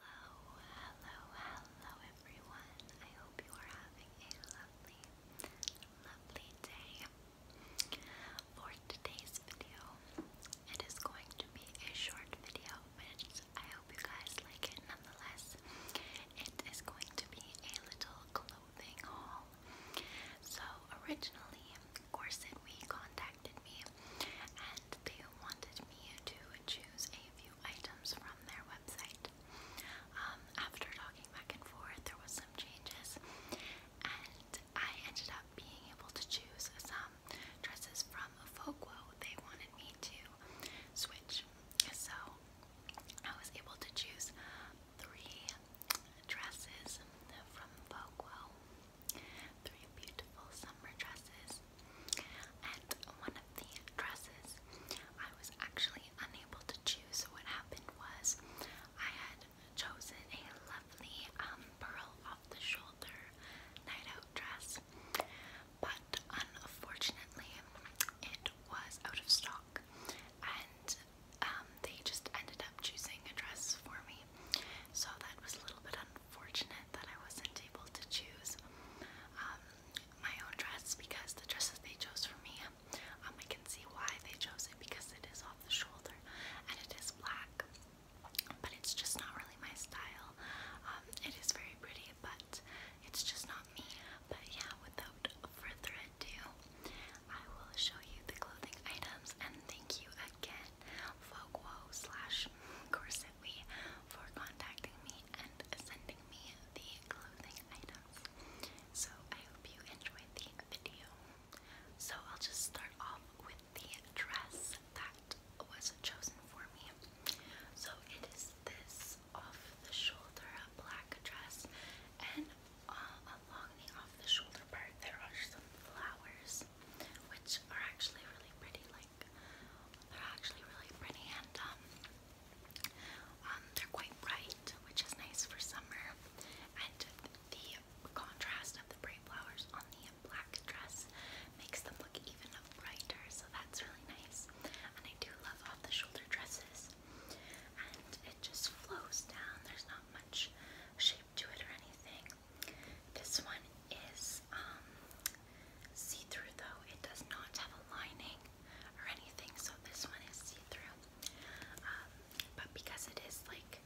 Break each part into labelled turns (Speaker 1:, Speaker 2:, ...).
Speaker 1: Hello, hello, hello everyone. I hope you are having a lovely, lovely day. For today's video, it is going to be a short video, but I hope you guys like it nonetheless. It is going to be a little clothing haul. So originally, Corset We contacted contacted me and they wanted me to choose a few items from their website. Um, after talking back and forth, there was some changes, and I ended up being able to choose some dresses from Vogue. They wanted me to switch, so I was able to choose three dresses from Vogue three beautiful summer dresses. And one of the dresses I was actually unable to choose, so what happened was I had chosen a lovely um, pearl off the shoulder night out dress, but unfortunately it was out of stock, and um, they just ended up choosing a dress for me, so that was a little bit unfortunate fortunate that I wasn't able to choose um, my own dress because the dresses they chose for me, um, I can see why they chose it because it is off the shoulder and it is black, but it's just not really my style. Um, it is very pretty, but it's just not me. But yeah, without further ado, I will show you the clothing items and thank you again Fogwo slash Corsetwe for contacting me and sending me the clothing items. So I hope you enjoyed the video. So I'll just start off with the dress that was chosen for me. So it is this off the shoulder black dress and along the off the shoulder part there are some flowers which are actually really pretty like they're actually really pretty and um um they're quite bright which is nice for summer and the contrast of the bright flowers on the black dress makes them look even brighter so that's really nice and I do love off the shoulder dresses and it just flows down there's not much shape to it or anything. This one is um, see-through though. It does not have a lining or anything, so this one is see-through. Um, but because it is like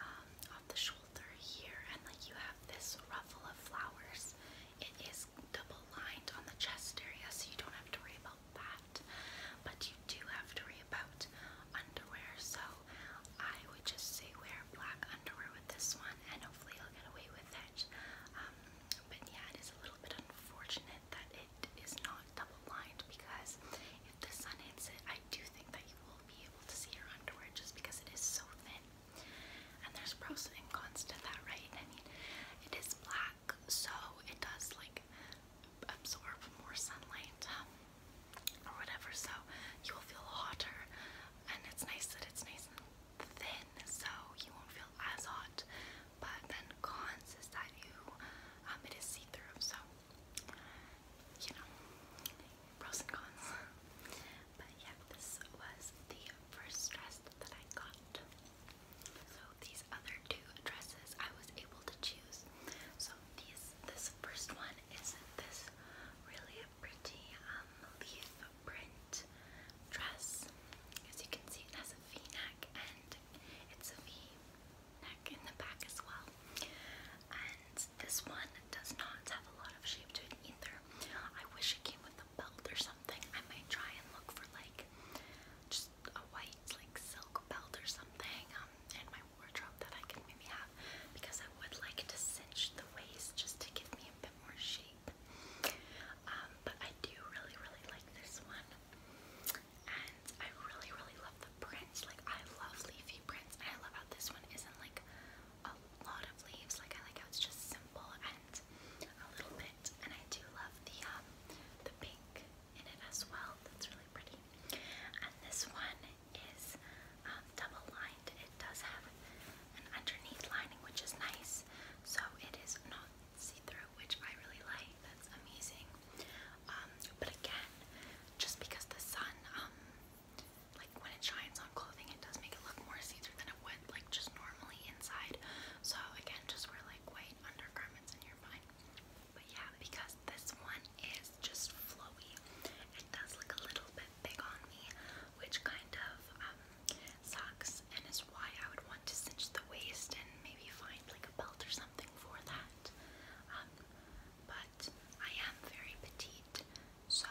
Speaker 1: um, off the shoulder here and like you have this ruffle of flowers, it is double lined on the chest area so you don't have to worry about about that. But you do have to worry about underwear, so I would just say wear black underwear with this one, and hopefully you'll get away with it. Um, but yeah, it is a little bit unfortunate that it is not double lined because if the sun hits it, I do think that you will be able to see your underwear just because it is so thin. And there's pros and cons to that, right? I mean, it is black, so it does like absorb more sunlight um, or whatever, so you will feel hotter. And it's nice that it's nice and thin, so you won't feel as hot. But then cons is that you, um, it is see-through, so you know, pros and cons. But yeah, this was the first dress that I got. So these other two dresses I was able to choose. So these this first one is this really pretty um, leaf print dress. As you can see, it has a V-neck and it's a V-neck in the back as well. And this one does not have a lot of shape to it either. I wish it came with a belt or something. I may try and look for like just a white like silk belt or something um, in my wardrobe that I can maybe have because I would like to cinch the waist just to give me a bit more shape. Um, but I do really, really like this one. And I really, really love the prints. Like, I love leafy prints. And I love how this one isn't like a lot of leaves. Like, I like how it's just simple and it a little bit, and I do love the um, the pink in it as well. That's really pretty. And this one is um, double lined. It does have an underneath lining, which is nice. So it is not see-through, which I really like. That's amazing. Um, but again, just because the sun, um, like when it shines on clothing, it does make it look more see-through than it would like just normally inside. So again, just wear like white undergarments in your mind. But yeah, because this one is just flowy, it does look a little bit big on me, which kind of um, sucks and is why I would want to cinch the waist and maybe find like a belt or something for that. Um, but I am very petite, so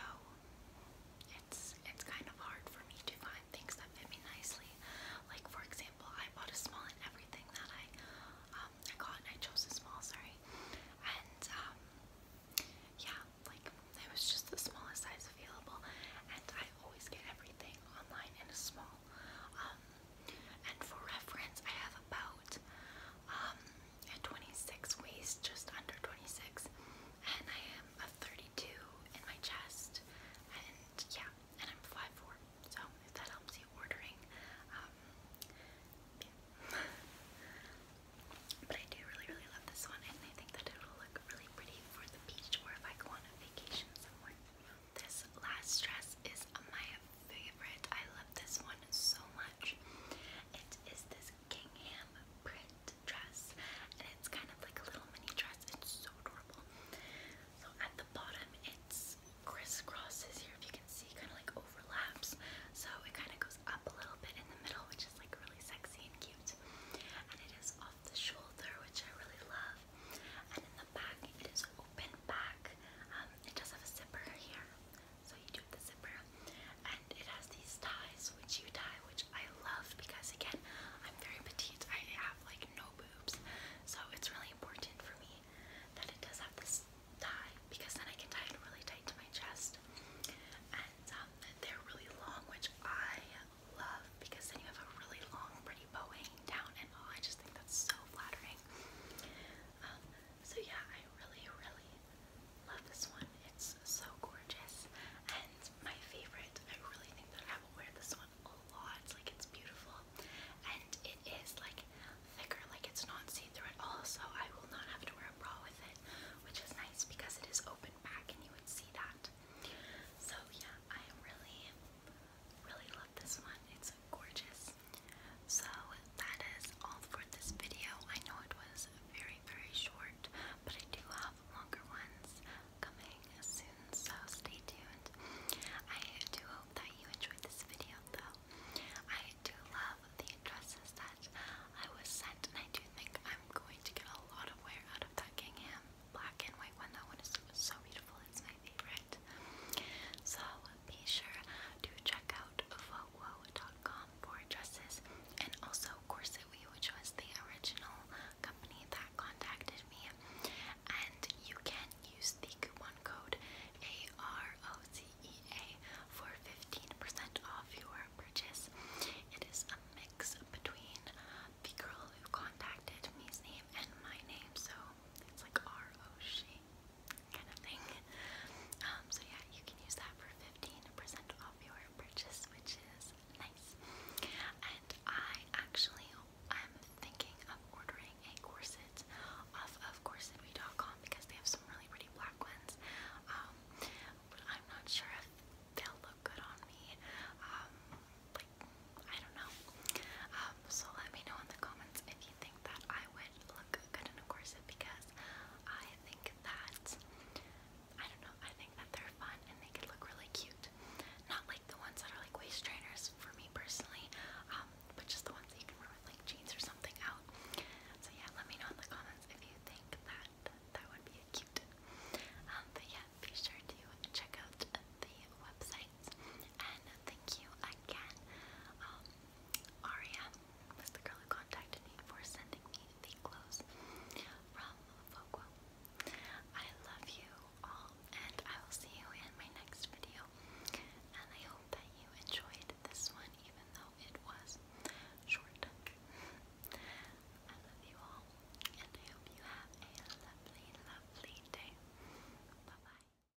Speaker 1: it's because it's kind of hard for me to find things that fit me nicely. Like for example, I bought a small in everything that I um I got and I chose a small, sorry. And um yeah, like it was just the smallest size available and I always get everything online in a small. Um and for reference I have about um a 26 waist, just under 26, and I am a 30 32 in my chest, and yeah, and I'm 5'4, so if that helps you ordering, um, but I do really, really love this one, and I think that it will look really pretty for the beach or if I go on a vacation somewhere. This last dress is my favorite. I love this one so much. It is this gingham print dress, and it's kind of like a little mini dress. It's so adorable. So at the bottom, it's crisscrosses here, if you can see, kind of like overlaps. So it kind of goes up a little bit in the middle, which is like really sexy and cute. And it is off the shoulder, which I really love. And in the back, it is open back. Um, it does have a zipper here, so you do the zipper and it has these ties which you tie, which I love because again, I'm very petite. I have like no boobs, so it's really important for me that it does have this tie because then I can tie it really tight to my chest. And um, they're really long, which I love because then you have a really long, pretty bow hanging down, and oh, I just think that's so flattering. Um, so yeah, I really, really Love this one. It's so gorgeous. And my favorite, I really think that I will wear this one a lot. Like it's beautiful. And it is like thicker, like it's not see-through at all. So I will not have to wear a bra with it, which is nice because it is open back and you would see that. So yeah, I really, really love this one. It's gorgeous. So that is all for this video. I know it was very very, short, but I do have longer ones coming soon, so stay tuned. I do hope that you enjoyed this video, though. I do love the dresses that I was sent, and I do think I'm going to get a lot of wear out of that black and white one. That one is so beautiful, it's my favorite. So be sure to check out vowo.com um, for dresses and also Corsetwe, which was the original company that contacted me. And you can use the coupon code AROCEA for 15% off your purchase. It is a mix between the girl who contacted me's name and my name, so it's like R O kind of thing. Um, so yeah, you can use that for 15% off your purchase, which is nice. And I actually am thinking of ordering a corset off of corsetme.com because they have some really pretty black ones. Um, but I'm not sure if they'll look good on me. Um, like, I don't know. so let me know in the comments if you think think that I would look good in a corset because I think that I don't know, I think that they're fun and they could look really cute. Not like the ones that are like waist trainers for me personally, um, but just the ones that you can wear with like jeans or something out. So yeah, let me know in the comments if you think that that would be a cute. Um, but yeah, be sure to check out the website and thank you again. Um, Aria was the girl who contacted me for sending me the clothes from Vogue. I love you all, and I will see you in my next video. And I hope that you enjoyed this one, even though it was short. I love you all, and I hope you have a lovely, lovely day. Bye bye.